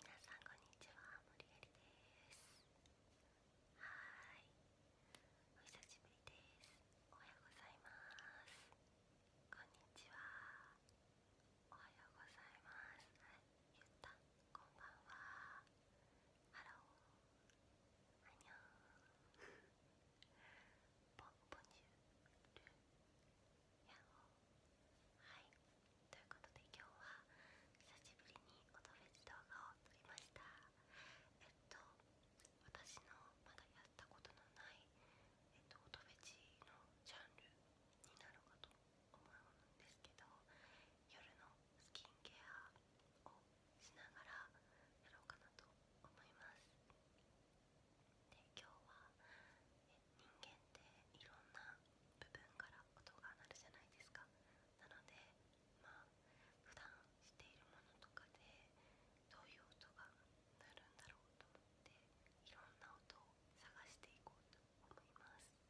皆さんこんにちは森えりですはいお久しぶりですおはようございますこんにちはおはようございますゆったこんばんはハローあにョンポンポニやっほはいということで今日は久しぶりに音ベジ動画を撮りましたえっと私のまだやったことのない、えっと、音ベジのジャンルになろうかと思うんですけど夜のスキンケアをしながらやろうかなと思いますで今日は、え人間っていろんな部分から音が鳴るじゃないですかなのでまあ普段しているものとかでどういう音が鳴るんだろうと思っていろんな音を探していこうと思います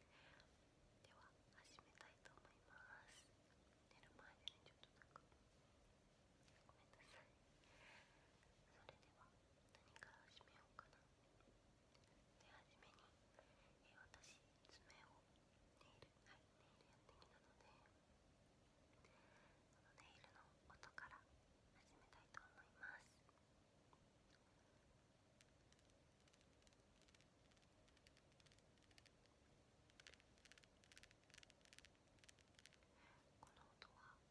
では始めたいと思います寝る前でねちょっとなんかごめんなさいそれでは何から始めようかなではじめに、え私爪をネイルはいネイルやってきたのでこのネイルの音から始めたいと思いますこの音は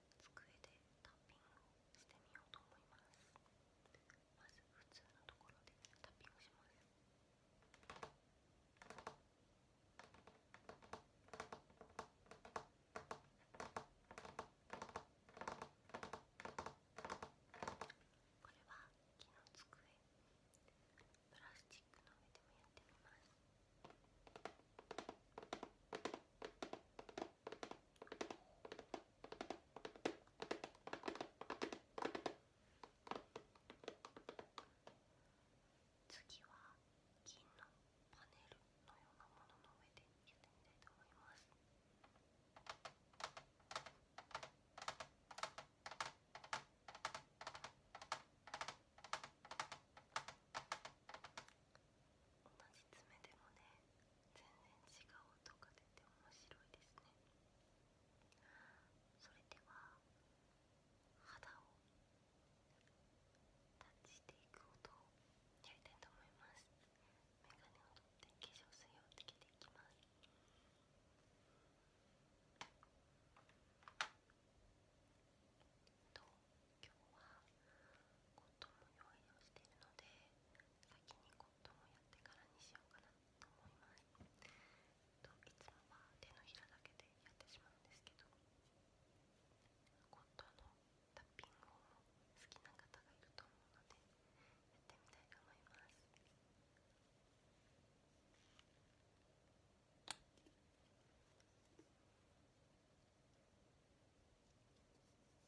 机でタッピングをしてみようと思いますまず普通のところでタッピングしますこれは木の机プラスチックの上でもやってみます次は銀のパネルのようなものの上でやってみたいと思います。同じ爪でもね全然違う音が出て面白いですねそれでは肌をタッチしていく音をやりたいと思いますメガネを取って化粧水をつけていきますどう今日はコットンも用意をしているので先にコットンをやってからにしようかなと思います、いつもは手のひらだけでやってしまうんですけどコットンのタッピングを好きな方がいると思うのでやってみたいと思います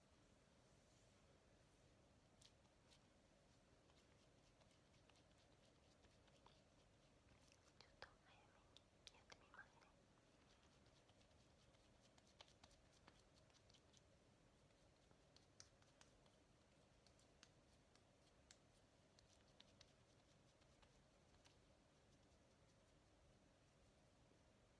ちょっと早めにやってみますね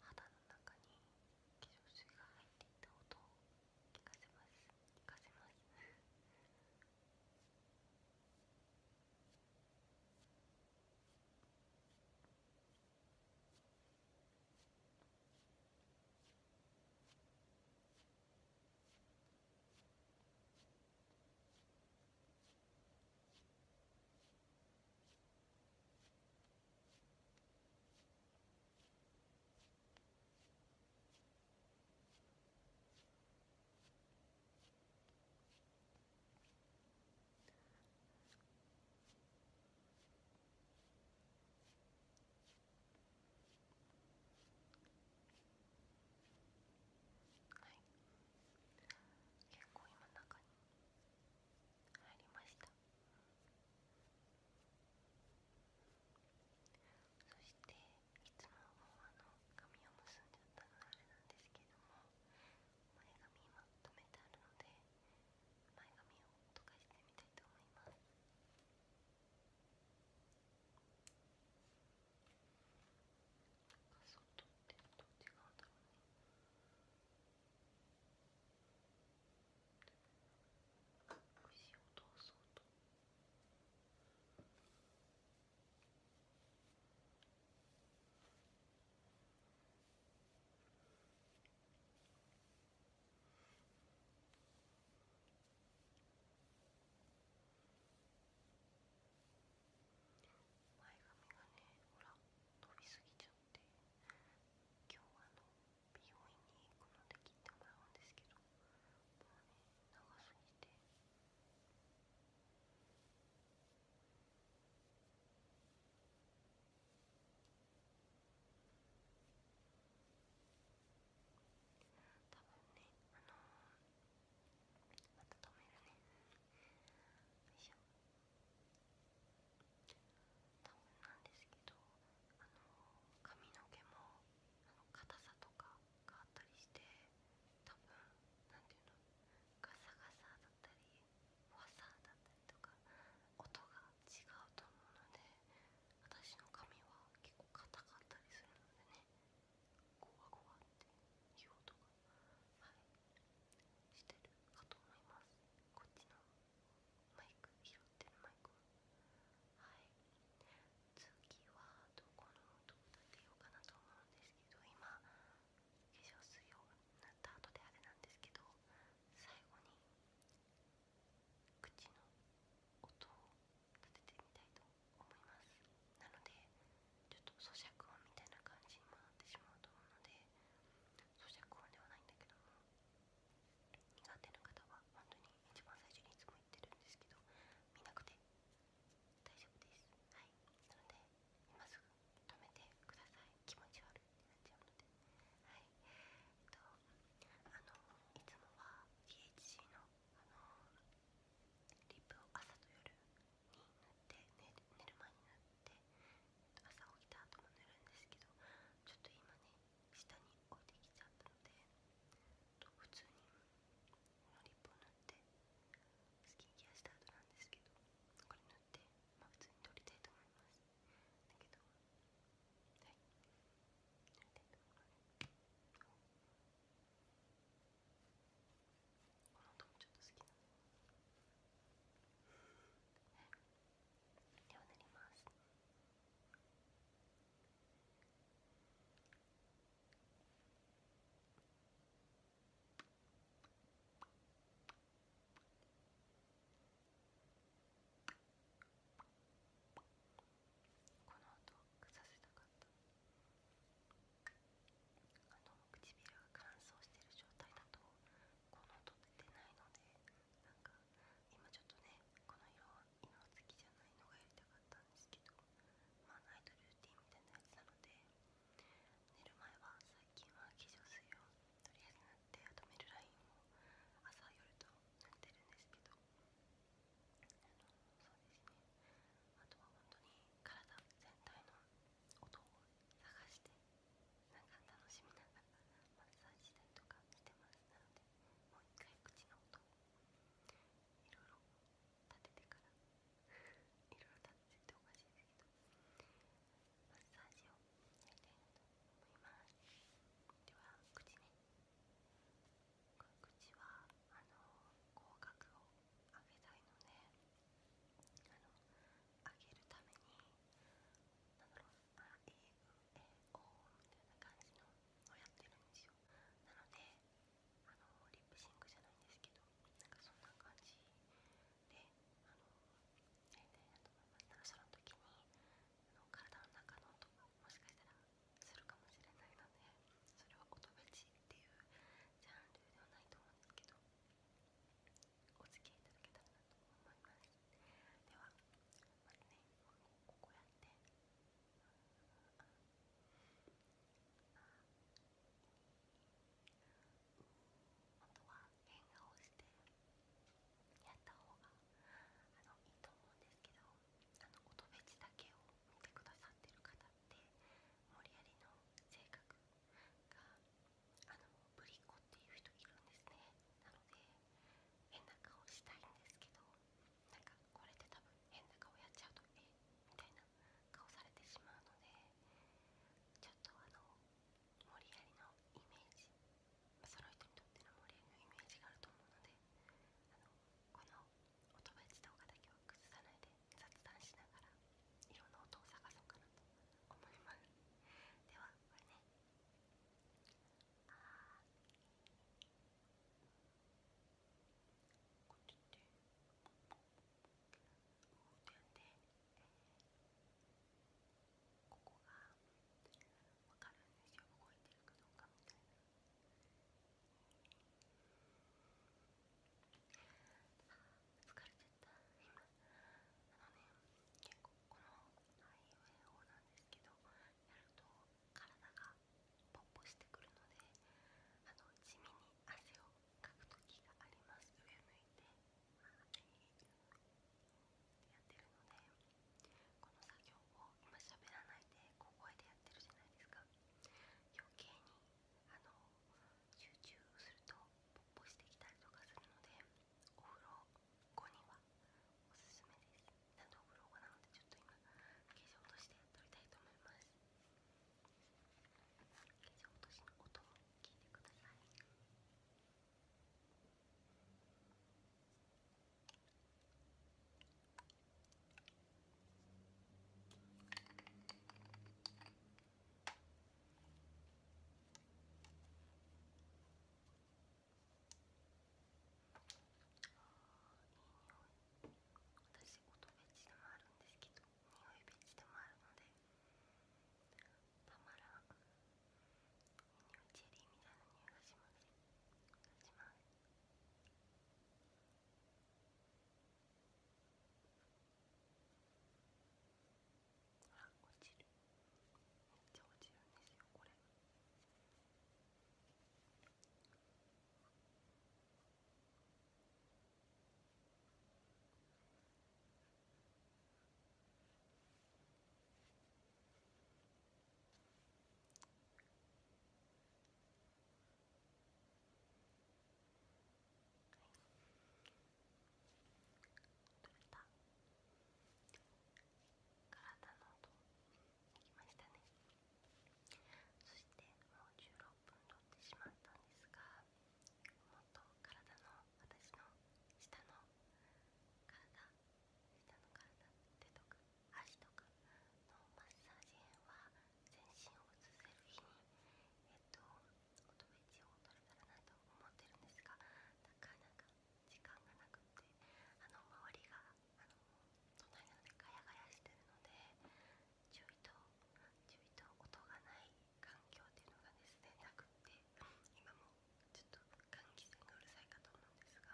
肌の中に化粧水が入っていた音を聞かせます聞かせます結構今中に。入りましたそしていつももあの紙を結んじゃったのあれなんですけども前髪今留めてあるので前髪を溶かしてみたいと思います外ってどっち側だろうそう前髪がねほら飛びすぎちゃって今日はあの美容院に行くので切ってもらうんですけどもうね長すぎて。多分ねあの温めるねよいしょ多分なんですけどあの髪の毛もあの硬さとかがあったりして多分なんていうのガサガサだったりワサだったりとか音が違うと思うので私の髪は結構硬かったりするのでねゴワゴワっていい音がしてるかと思いますこっちのマイク拾ってるマイクはい次はどこの音を立てようかなと思うんですけど今化粧水を塗った後であれなんですけど最後に口の音を立ててみたいと思いますなのでちょっと咀嚼音みたいな感じにもなってしまうと思うので咀嚼音ではないんだけども苦手な方は本当に一番最初にいつも言ってるんですけど見なくて大丈夫ですはいなので今すぐ止めてください気持ち悪いってなっちゃうのではいえっとあのいつもは DHC のあのリップを朝と夜って寝寝る前になって朝起きた後も塗るんですけどちょっと今ね下に置いてきちゃったので普通にのリップを塗ってスキンケアした後なんですけどこれ塗って、ま普通に撮りたいと思いますだけどりたいと思いますこの音もちょっと好きなのでは塗りますこの音をさせたかった。あの唇が乾燥してる状態だとこの音って出ないのでなんか今ちょっとねこの色は色好きじゃないのがやりたかったんですけどまあナイトルーティンみたいなやつなので寝る前は最近は化粧水をとりあえず塗ってあとめる。ラインも朝夜と塗ってるんですけど。そうですねあとは本当に体全体の音を探してなんか楽しみながらマッサージしたりとかしてますなのでもう一回口の音をいろいろ立ててからいろいろ立てておかしいですけどマッサージをやりたいなと思いますでは口ね口はあの口角を揚げたいのであの揚げるためになんだろうあえうえおみたいな感じのをやってるんですよなのであのリップシンクじゃないんですけどなんかそんな感じであのやりと思ますその時にあの体の中の音がもしかしたらするかもしれないのでそれはお友っていうジャンルではないと思うんですけどお付き合いいただけたらなと思いますではまずねここやってあとは変顔してやった方があいいと思うんですけどあの音フチだけを見てくださってる方ってモリアの性格があのぶりっ子っていう人いるんですねなので変な顔したいんですけどなんかこれって多分変な顔やっちゃうとえみたいな顔されてしまうのでちょっとあのモリアリのイメージその人にとってのモリアリのイメージがあると思うのであのこのお友達動画だけは崩さないで雑談しながらいろんな音を探そうかなと思いますではこれねああこっちってこうで、えー、ここが分かるんですよ動いてるかどうかみたいな。疲れちゃった今あのね結構このアイウェオなんですけどやると体がポッポしてくるのであの地味に汗をかく時があります上向いて、まあ、やってるのでこの作業を今喋らないで小声でやってるじゃないですか余計にあの集中するとポッポしてきたりとかするのでお風呂後にはおすすめですなんとお風呂後なのでちょっと今化粧として撮りたいと思います化粧落としの音も聞いてください私音ベチでもあるんですけど匂いベチでもあるのでたまらん匂いチェリーみたいな匂いがしますします落ちるめっちゃ落ちるんですよこれはい。取れた体の音できましたねそしてもう16分取ってしまったんですがもっと体の私の下の体下の体手とか足とかのマッサージ編は全身を映せる日に、えっと、おとめ地を取れたらなと思ってるんですがなかなか時間がなくてあの周りがあの隣なのでがやがやしてるので注意と注意と音がない環境っていうのがですねなくて今もちょっと換気扇がうるさいかと思うんですが。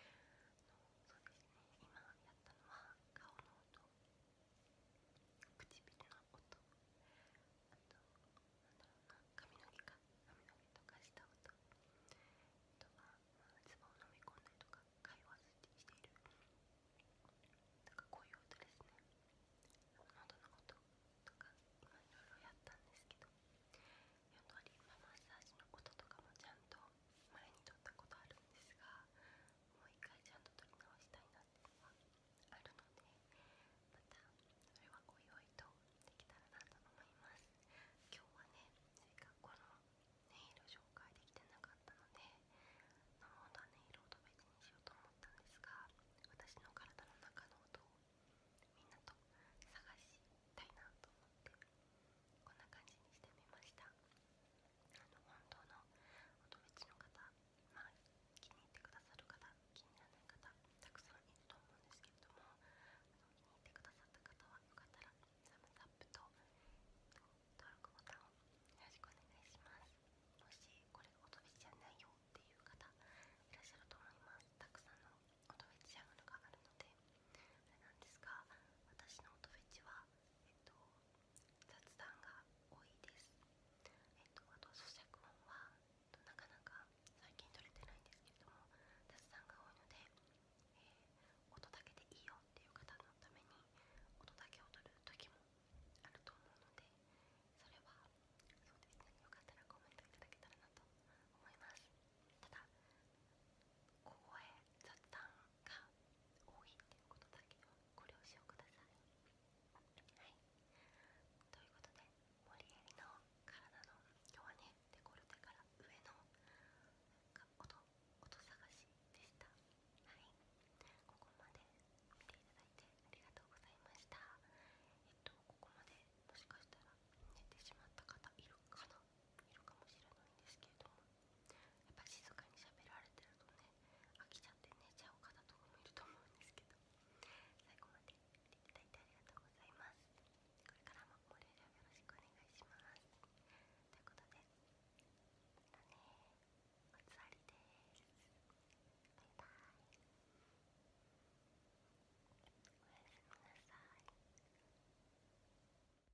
そうですね今やったのは顔の音唇の音あとなんだろうな髪の毛か髪の毛とかした音あとは唾、まあ、を飲み込んだりとか会話しているなんかこういう音ですね喉の音とか今いろいろやったんですけどやっぱりマッサージのこととかもちゃんと前に撮ったことあるんですがもう一回ちゃんと取り直したいなっていうのはあるのでまたそれはおいおいとできたらなと思います今日はねせっかくこの音色紹介できてなかったので飲の音は音イルをと別にしようと思ったんですが私の体の中の音をみんなと探したいなと思ってこんな感じにしてみました本当の乙女地の方、まあ、気に入ってくださる方気にならない方たくさんいると思うんですけれどもあの気に入ってくださった方はよかったらサムサップと登録ボタンをよろしくお願いしますもしこれが乙女地じゃないよっていう方いらっしゃると思いますたくさんの乙女チジャンルがあるのでそれなんですが私の乙女地はえっと、雑談が多いです、えっと、あと咀嚼音はなかなか最近取れてないんですけれども雑談が多いので、え音だけでいいよっていう方のために音だけを取る時もあると思うのでそれはそうですねよかったらコメントいただけたらなと思いますただ凍え雑談が多いっていうことだけはを使用くださいはいということで森エリの体の今日はねデコルテから上の音音探しでしたはいここまで見ていただいてありがとうございましたえっとここまでもしかしたら寝てしまった方いるかないるかもしれないんですけれどもやっぱ静かに喋られてるとね飽きちゃって寝ちゃう方とかもいると思うんですけど最後まで見ていただいてありがとうございますこれからもご連絡よろしくお願いしますということでまたねおつわりですバイバイおやすみなさい